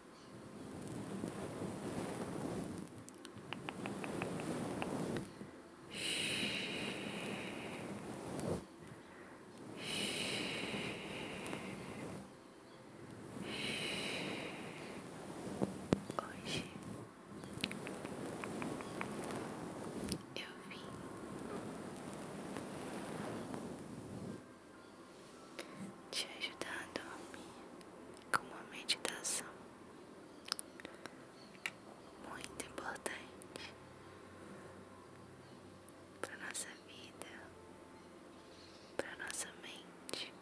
Hoje eu vim te ajudar a dormir com uma meditação muito importante para nossa vida, para nossa mente,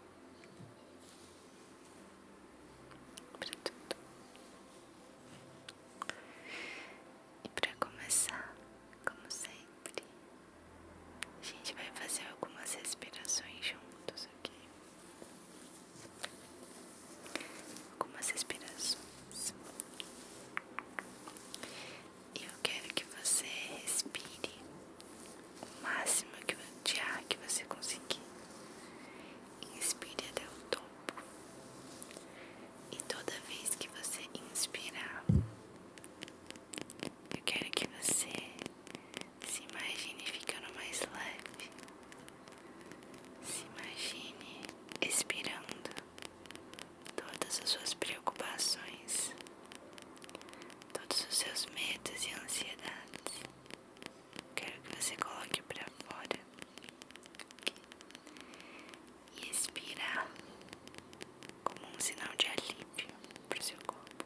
para tudo. E para começar, como sempre, a gente vai fazer algumas respirações juntos aqui. Algumas respirações. E eu quero que você respire o máximo de ar que você conseguir. Inspire até o topo. E toda vez que você inspirar, eu quero que você se imagine ficando mais leve. Se imagine expirando todas as suas preocupações, todos os seus medos e ansiedades. Quero que você coloque para fora e expirar como um sinal de alívio para o seu corpo.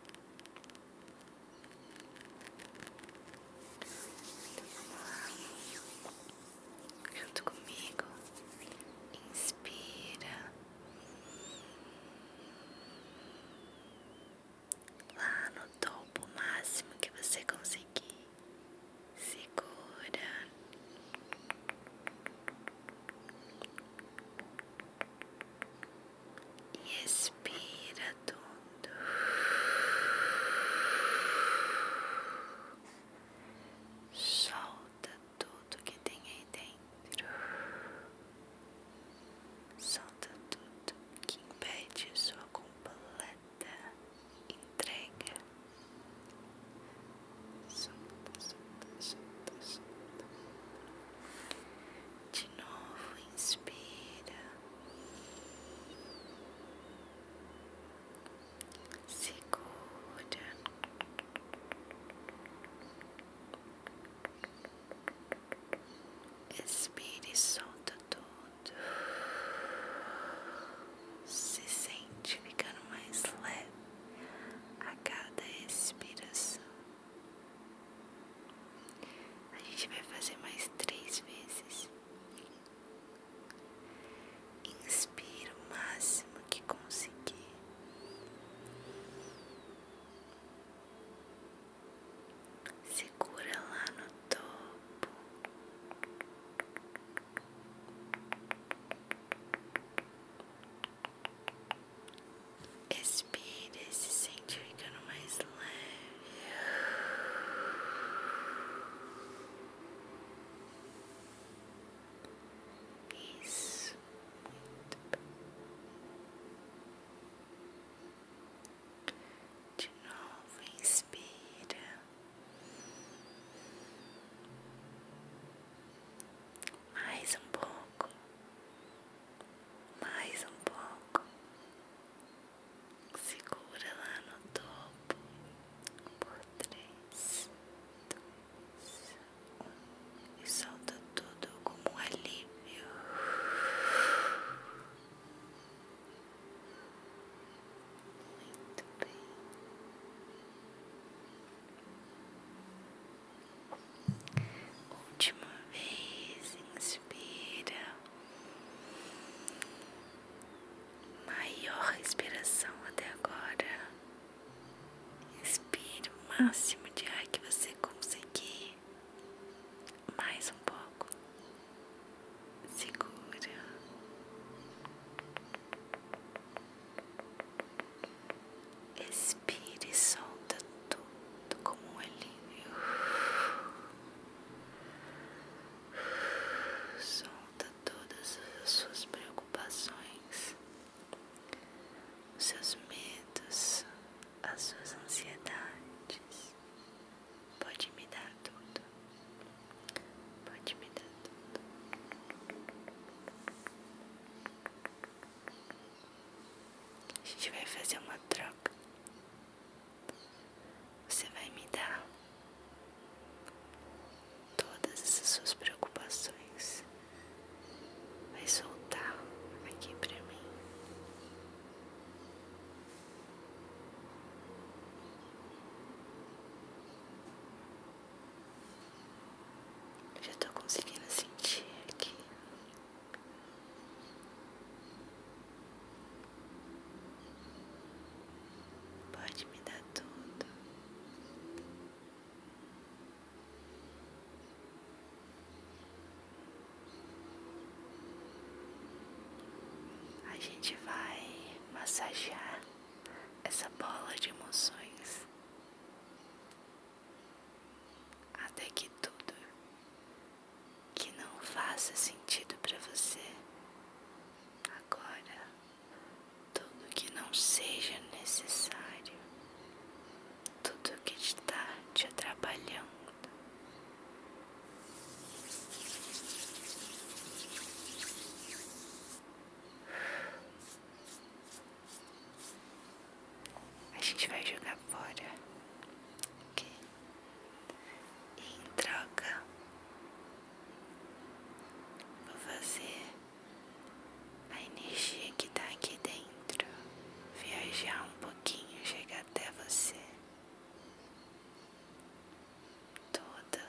Então vamos lá, junto comigo, inspira lá no topo máximo que você conseguir, segura e expira tudo. Solta tudo que tem aí dentro. Solta tudo que impede sua completa entrega. Solta, solta, solta, solta novo, inspira, segura, expira e solta tudo. Se sente ficando mais leve a cada respiração. A gente vai fazer mais três vezes. Inspira o máximo que conseguir. Segura lá no topo. Expire se sente ficando mais leve. Isso, muito bem. De novo, inspira. Mais um pouco mais um pouco, segura lá no topo por três, dois, e solta tudo como um alívio. Muito bem. Última vez, inspira. Maior respiração até agora. Inspire o máximo de ar que você conseguir. Mais um pouco. Segura. Expire solta tudo como um alívio. Solta todas as suas preocupações, os seus medos, as suas ansiedades. Pode me dar tudo. Pode me dar tudo. A gente vai fazer uma troca. Você vai me dar todas essas suas preocupações. Vai soltar aqui pra mim. já tô conseguindo sentir aqui Pode me dar tudo. A gente vai massagear essa bola de emoções até que tudo que não faça sentido para você agora, tudo que não seja necessário, tudo que está te atrapalhando. A gente vai jogar fora. Ok. E em troca, vou fazer a energia que tá aqui dentro viajar um pouquinho, chegar até você. Toda,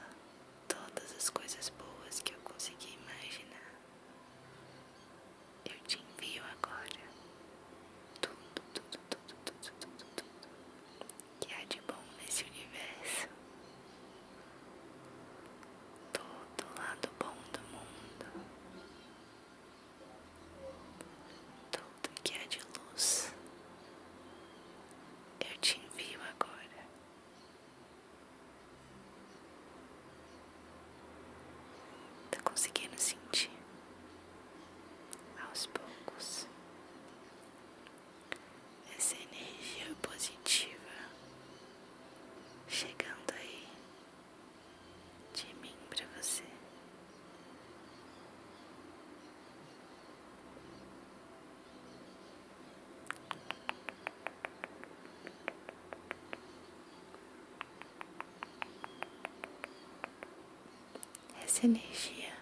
todas as coisas boas que eu consegui imaginar eu te envio agora tudo, tudo, tudo, tudo, tudo, tudo que há de bom nesse universo. Todo lado bom do mundo, tudo que há de luz, eu te envio agora. Tá conseguindo sentir aos poucos essa energia positiva chegando aí de mim para você. Essa energia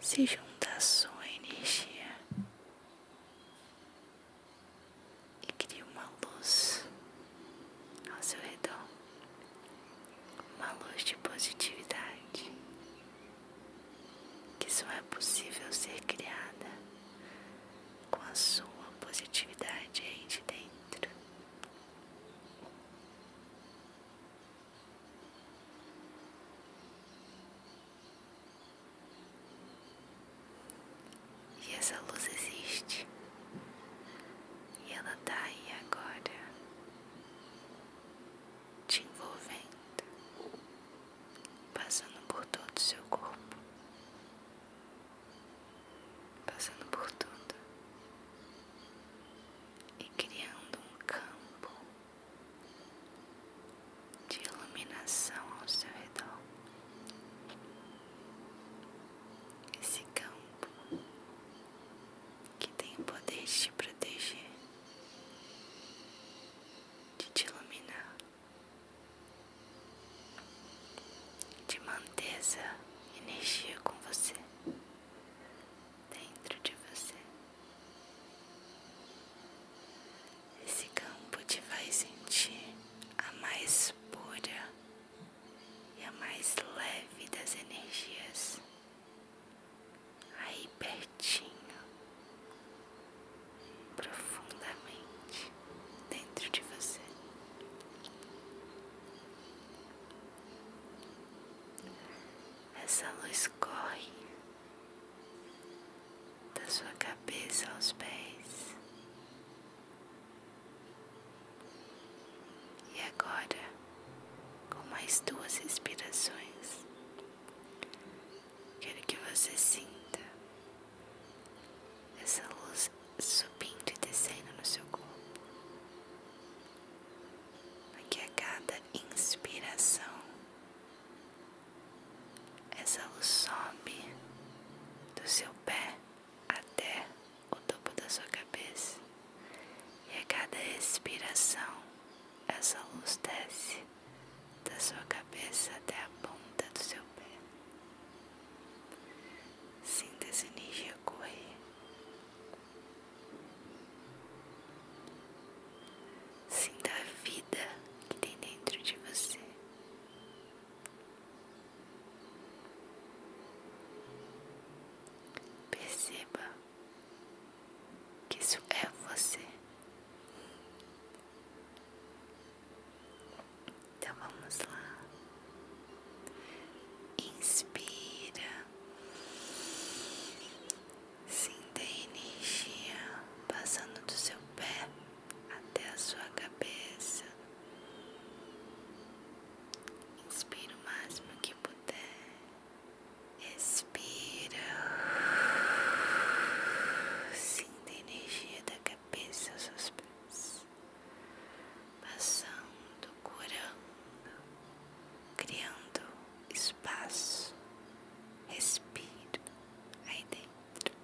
se junta à sua energia e cria uma luz ao seu redor, uma luz de positividade que só é possível ser criada com a sua positividade aí de dentro. E essa luz existe, e ela tá aí agora, te envolvendo, passando por todo o seu corpo, passando por tudo e criando um campo de iluminação ao seu redor. Esse campo que tem o poder de te proteger, de te iluminar de manter essa energia com você, dentro de você. Esse campo te vai sentir a mais pura e a mais leve das energias, aí pertinho profundamente dentro de você. Essa luz corre da sua cabeça aos pés. E agora, com mais duas respirações, quero que você sinta essa luz subindo e descendo no seu corpo, porque a cada inspiração essa luz sobe do seu pé até o topo da sua cabeça, e a cada expiração essa luz desce da sua cabeça até a ponta do seu pé. Sinta essa energia correr. Sinta a vida que tem dentro de você. Perceba que isso é você. Então vamos lá. Inspira. Sinta a energia passando do seu pé até a sua cabeça. Inspira o máximo que puder. Expira. Sinta a energia da cabeça pensa aos seus pés, passando, curando, criando espaço, respiro aí dentro.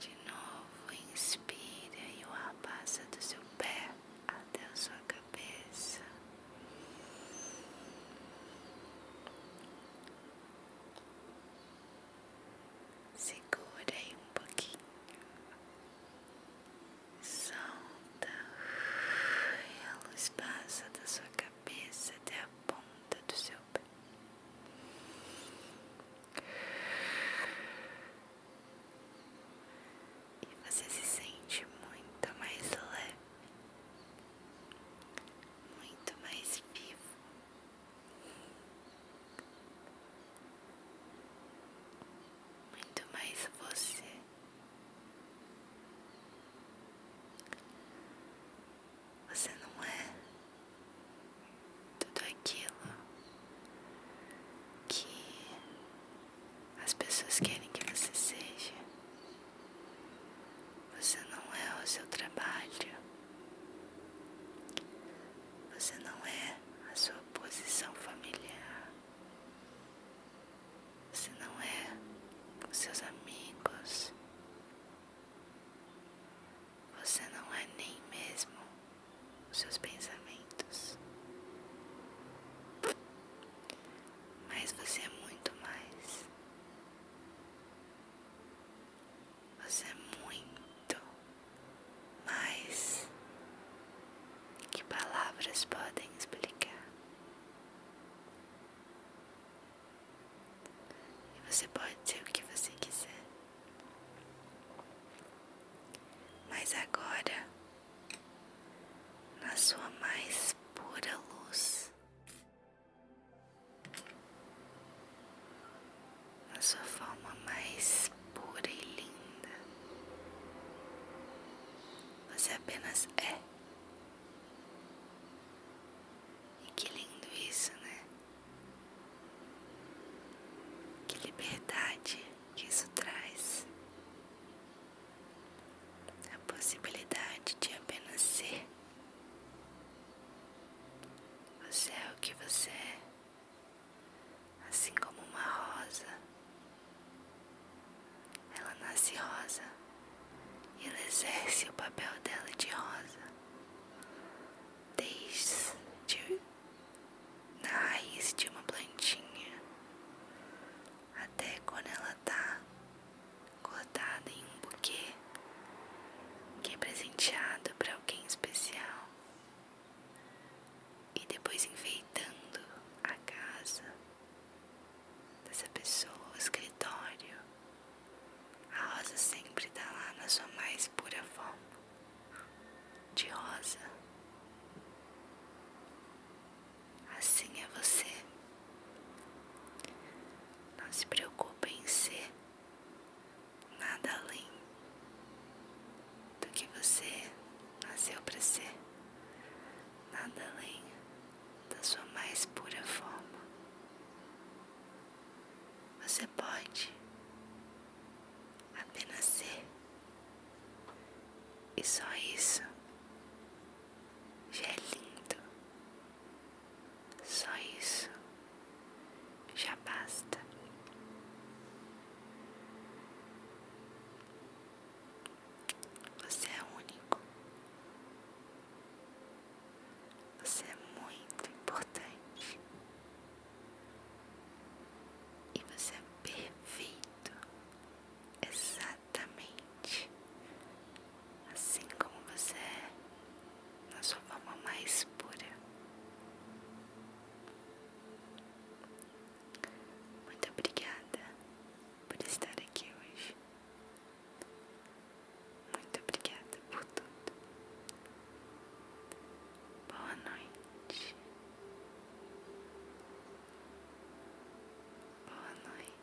De novo, inspira e o ar passa do seu pé até a sua cabeça. Segura aí um pouquinho. Solta. E a luz passa da sua cabeça até a ponta do seu pé. E você se sente muito mais leve, muito mais vivo. Muito mais você. Você não é tudo aquilo que as pessoas querem que você seja. Você não é o seu trabalho. Você não é a sua posição familiar. Você não é os seus amigos. Você não é nem mesmo os seus pensamentos. Mas você é muito mais. Você é muito mais que palavras podem explicar. E você pode ser o que você quiser. Mas agora, na sua mais pura luz na sua forma mais pura e linda. Você apenas é. E que lindo isso, né? Que liberdade que isso traz. A possibilidade de apenas ser. Você é o que você é, assim como uma rosa. Ela nasce rosa e ela exerce o papel dela de rosa, desde na raiz de uma plantinha até quando ela tá cortada em um buquê que é presenteado para alguém especial e depois enfeitando a casa dessa pessoa, o escritório. A rosa sempre tá lá na sua mais pura forma de rosa. Assim é você. Não se preocupe em ser nada além do que você nasceu para ser, nada além da sua mais pura forma. Você pode apenas ser, e só isso já é lindo. Só isso já basta. Você é único. Você é muito importante. E você é perfeito. Exato exatamente assim como você é, na sua forma mais pura. Muito obrigada por estar aqui hoje. Muito obrigada por tudo. Boa noite. Boa noite.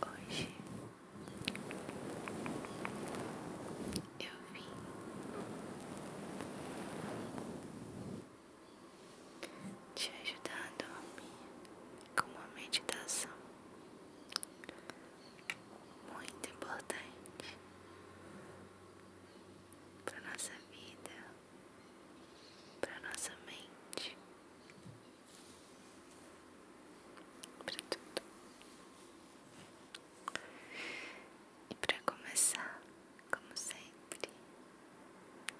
Hoje eu vim te ajudar a dormir com uma meditação muito importante para nossa vida, para nossa mente, para tudo. E para começar, como sempre,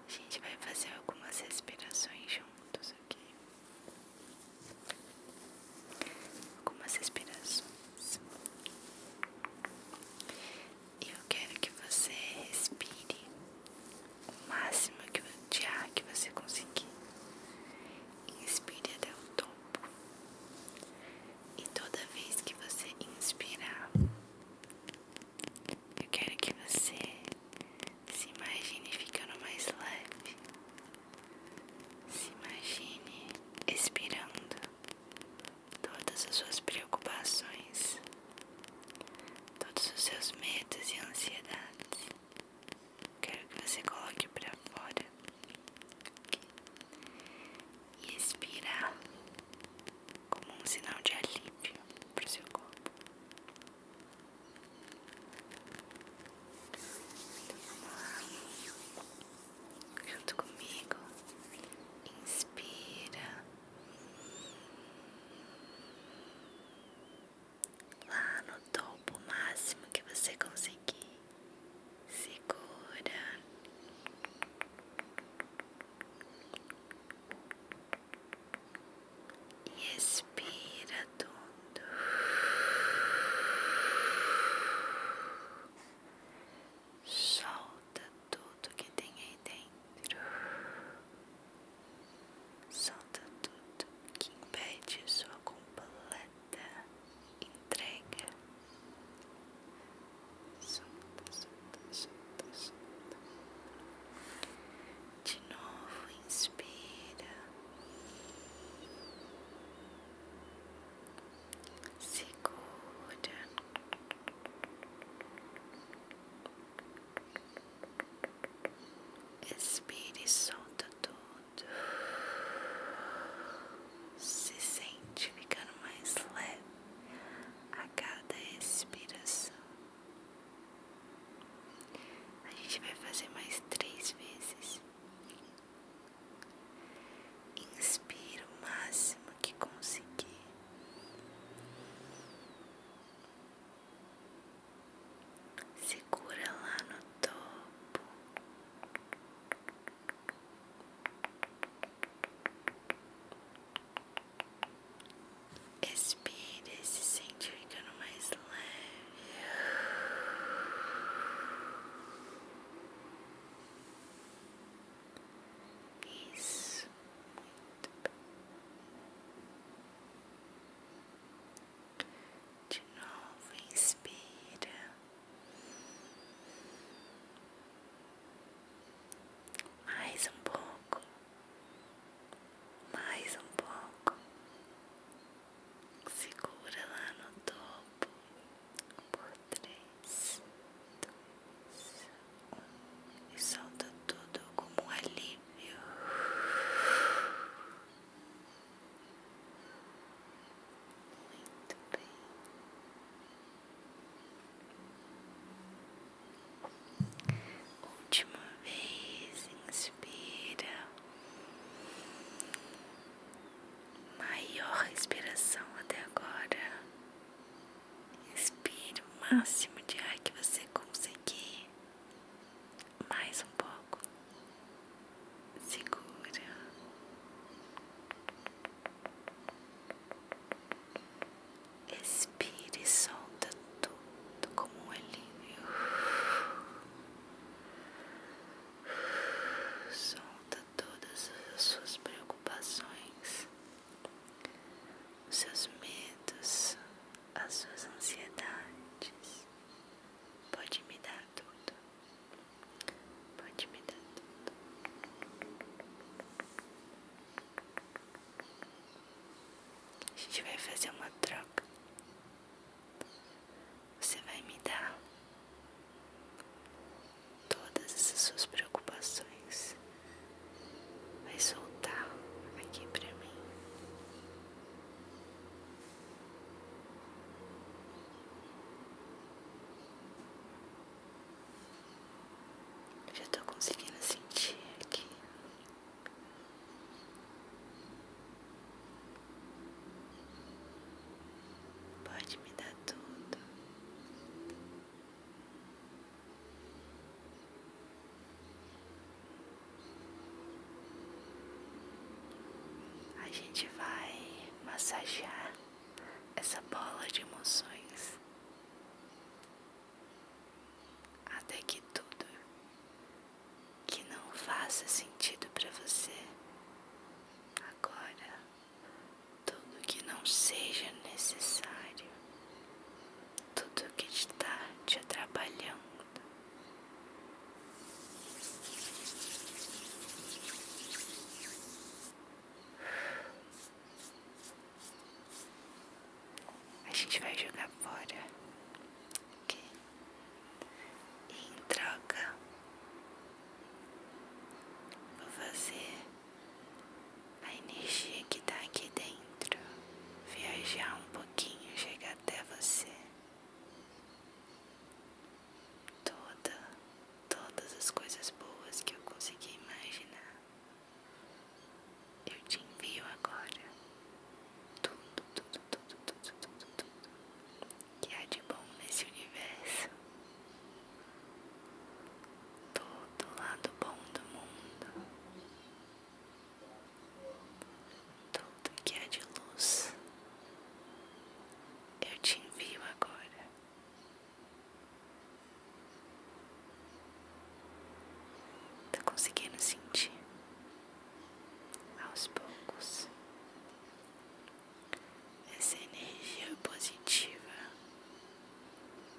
a gente vai fazer algumas respirações juntos, aqui, Algumas respirações eu quero que você respire o máximo de ar que você conseguir. Inspire até o topo. E toda vez que você inspirar, eu quero que você se imagine ficando mais leve. Se imagine expirando todas as suas preocupações, todos os seus medos e ansiedades. Quero que você coloque para fora e expire como um sinal de alívio para o seu corpo. Então, vamos lá junto comigo. Inspira lá no topo máximo que você conseguir. Segura. E expira tudo. Solta tudo que tem aí dentro. Solta tudo que impede sua completa entrega. Solta, solta, solta, solta. De novo, inspira segura, expire e solta tudo, se sente ficando mais leve a cada expiração. A gente vai fazer mais três vezes. Inspira o máximo que conseguir. Segura lá no topo. Expira e se sente ficando mais leve. Isso, muito bem. De novo, inspira. Mais um pouco. Mais um pouco. Segura lá no topo por três, dois, um, e solta tudo como um alívio. Muito bem. Última vez, inspira maior respiração até agora. Inspire o máximo de ar que você conseguir. Mais um pouco. Segura. Expire e solta tudo como um alívio. Solta todas as suas preocupações, os seus medos, as suas ansiedades. Pode me dar tudo. Pode me dar tudo. A gente vai fazer uma troca você vai me dar todas essas suas preocupações, vai soltar aqui pra mim. Já estou conseguindo sentir aqui. Pode me dar tudo. A gente vai massagear essa bola de emoções até que tudo que não faça sentido para você agora tudo que não seja necessário, tudo que está te atrapalhando. A gente vai jogar fora, ok? em troca, Vou fazer a energia que está aqui dentro viajar um pouquinho, chegar até você. Toda, todas as coisas boas que eu consegui imaginar, eu te envio agora. Tudo, tudo, tudo, tudo, tudo, tudo que há de bom nesse universo. Todo lado bom do mundo. Tudo que há de luz. Eu te envio agora. Tá conseguindo sentir? Aos poucos essa energia positiva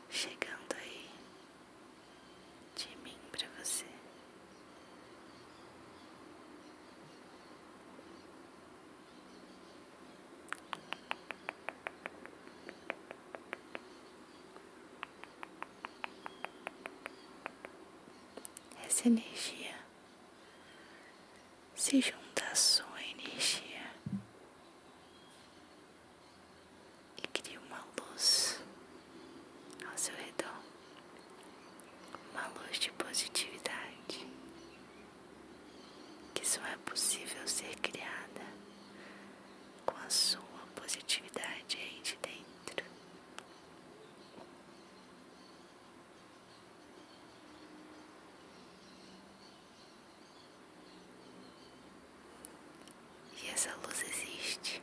chegando aí de mim para você. Essa energia se junta a sua energia e cria uma luz ao seu redor, uma luz de positividade que só é possível ser criada com a sua positividade aí de dentro. E essa luz existe.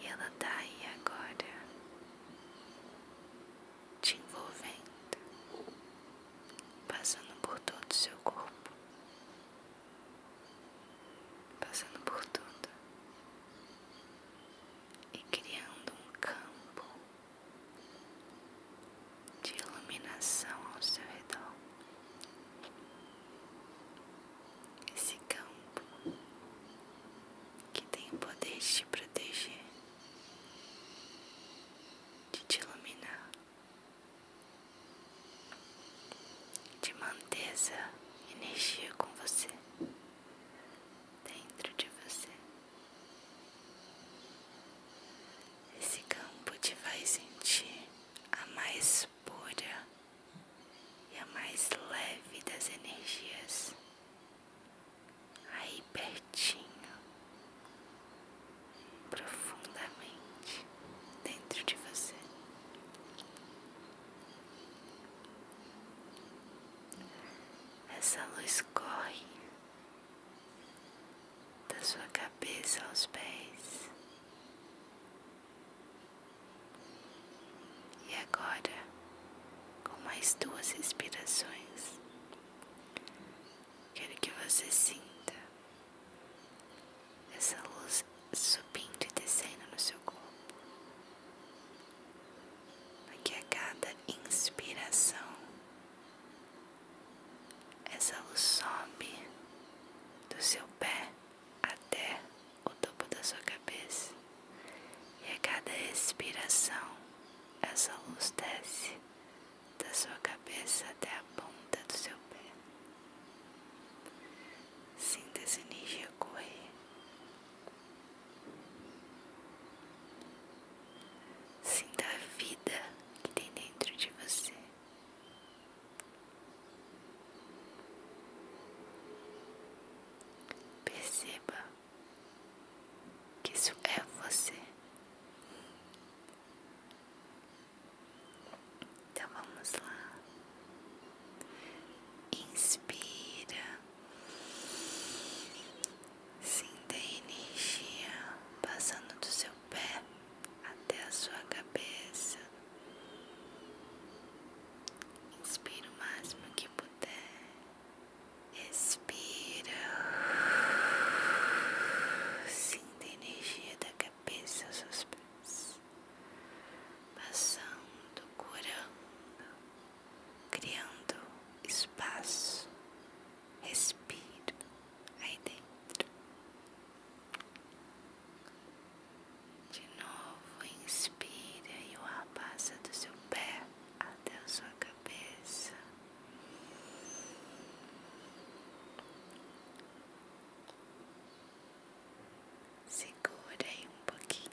E ela tá aí agora, te envolvendo, passando por todo o seu corpo, passando por tudo e criando um campo de iluminação ao seu redor. Esse campo que tem o poder de te proteger, de te iluminar, de manter essa energia com você, dentro de você. Esse campo te faz sentir a mais pura e a mais leve das energias aí pertinho, profundamente dentro de você essa luz corre da sua cabeça aos pés. E agora, com mais duas respirações, quero que você sinta essa luz subindo e descendo no seu corpo para a cada inspiração essa luz sobe do seu pé até o topo da sua cabeça e a cada expiração essa luz desce da sua cabeça até a ponta do seu pé. Sinta essa energia correr Sinta a vida que tem dentro de você. Perceba que isso é você. Então vamos lá. Inspira. Sinta a energia passando do seu pé até a sua cabeça. Inspira o máximo que puder. Expira. Sinta a energia da cabeça aos seus pés. Passando, curando criando espaço, respiro aí dentro. De novo, inspira e o ar passa do seu pé até a sua cabeça. Segura aí um pouquinho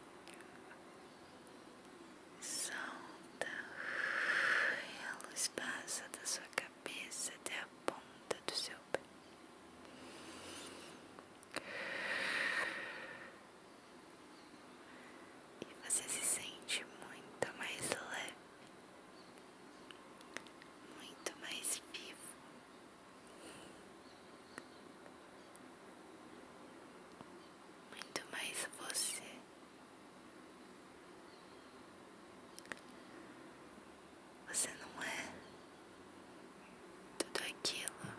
solta e a luz passa da sua cabeça até a ponta do seu pé. E você se sente muito mais leve, muito mais vivo muito mais você. Você não é tudo aquilo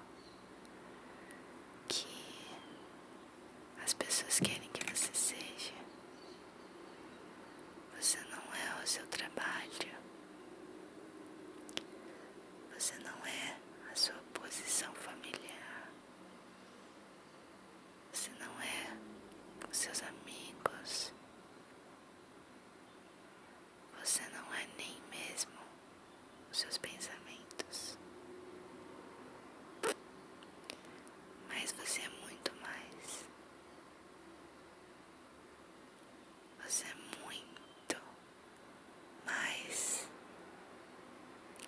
que as pessoas querem que você seja. Você não é o seu trabalho. Você não é a sua posição familiar. Você não é com seus amigos. Você não é nem mesmo os seus pensamentos. Mas você é muito mais. Você é muito mas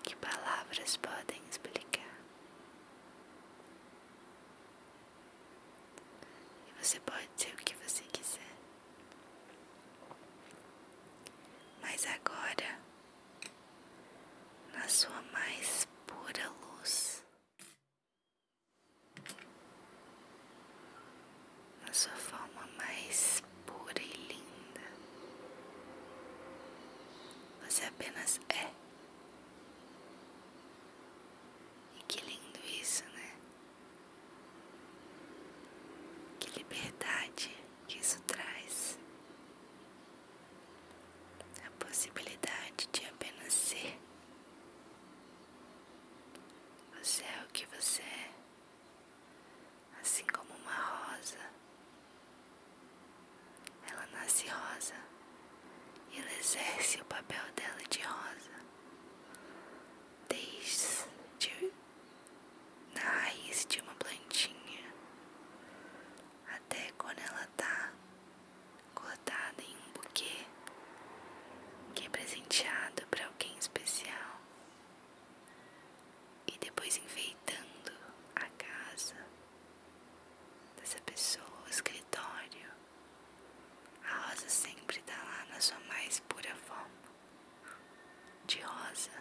que palavras podem explicar? você pode ser o que você quiser. Mas agora, na sua mais pura luz, na sua forma mais pura e linda. Você apenas é. E que lindo isso, né? Que liberdade que isso traz. A possibilidade de apenas ser. Você é o que você é assim como uma rosa. Ela nasce rosa e ela exerce o papel dela de rosa, desde na raiz de uma plantinha até quando ela está cortada em um buquê que é presenteado para alguém especial e depois enfeitando a casa dessa pessoa, o escritório. A rosa sempre tá lá na sua mais pura forma de rosa.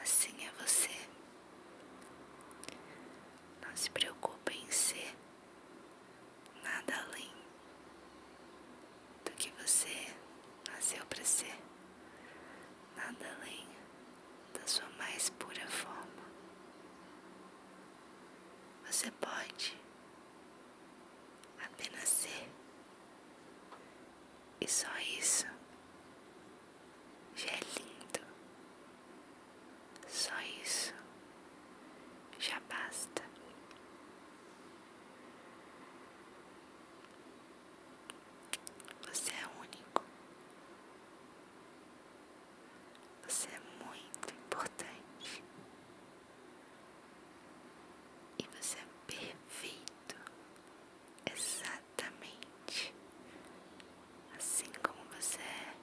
Assim é você. Não se preocupe em ser nada além do que você nasceu para ser, nada além da sua mais pura forma. Você pode apenas ser, e só isso já é lindo, só isso já basta. Você é único. Você é muito importante. E você é perfeito. Exatamente. Assim como você é,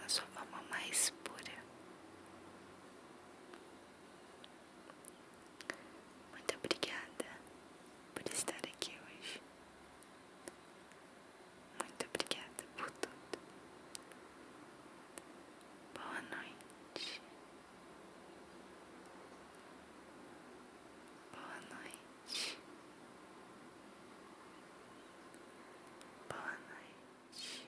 na sua forma mais pura. Muito obrigada por estar aqui hoje. Muito obrigada por tudo. Boa noite. Boa noite. Boa noite.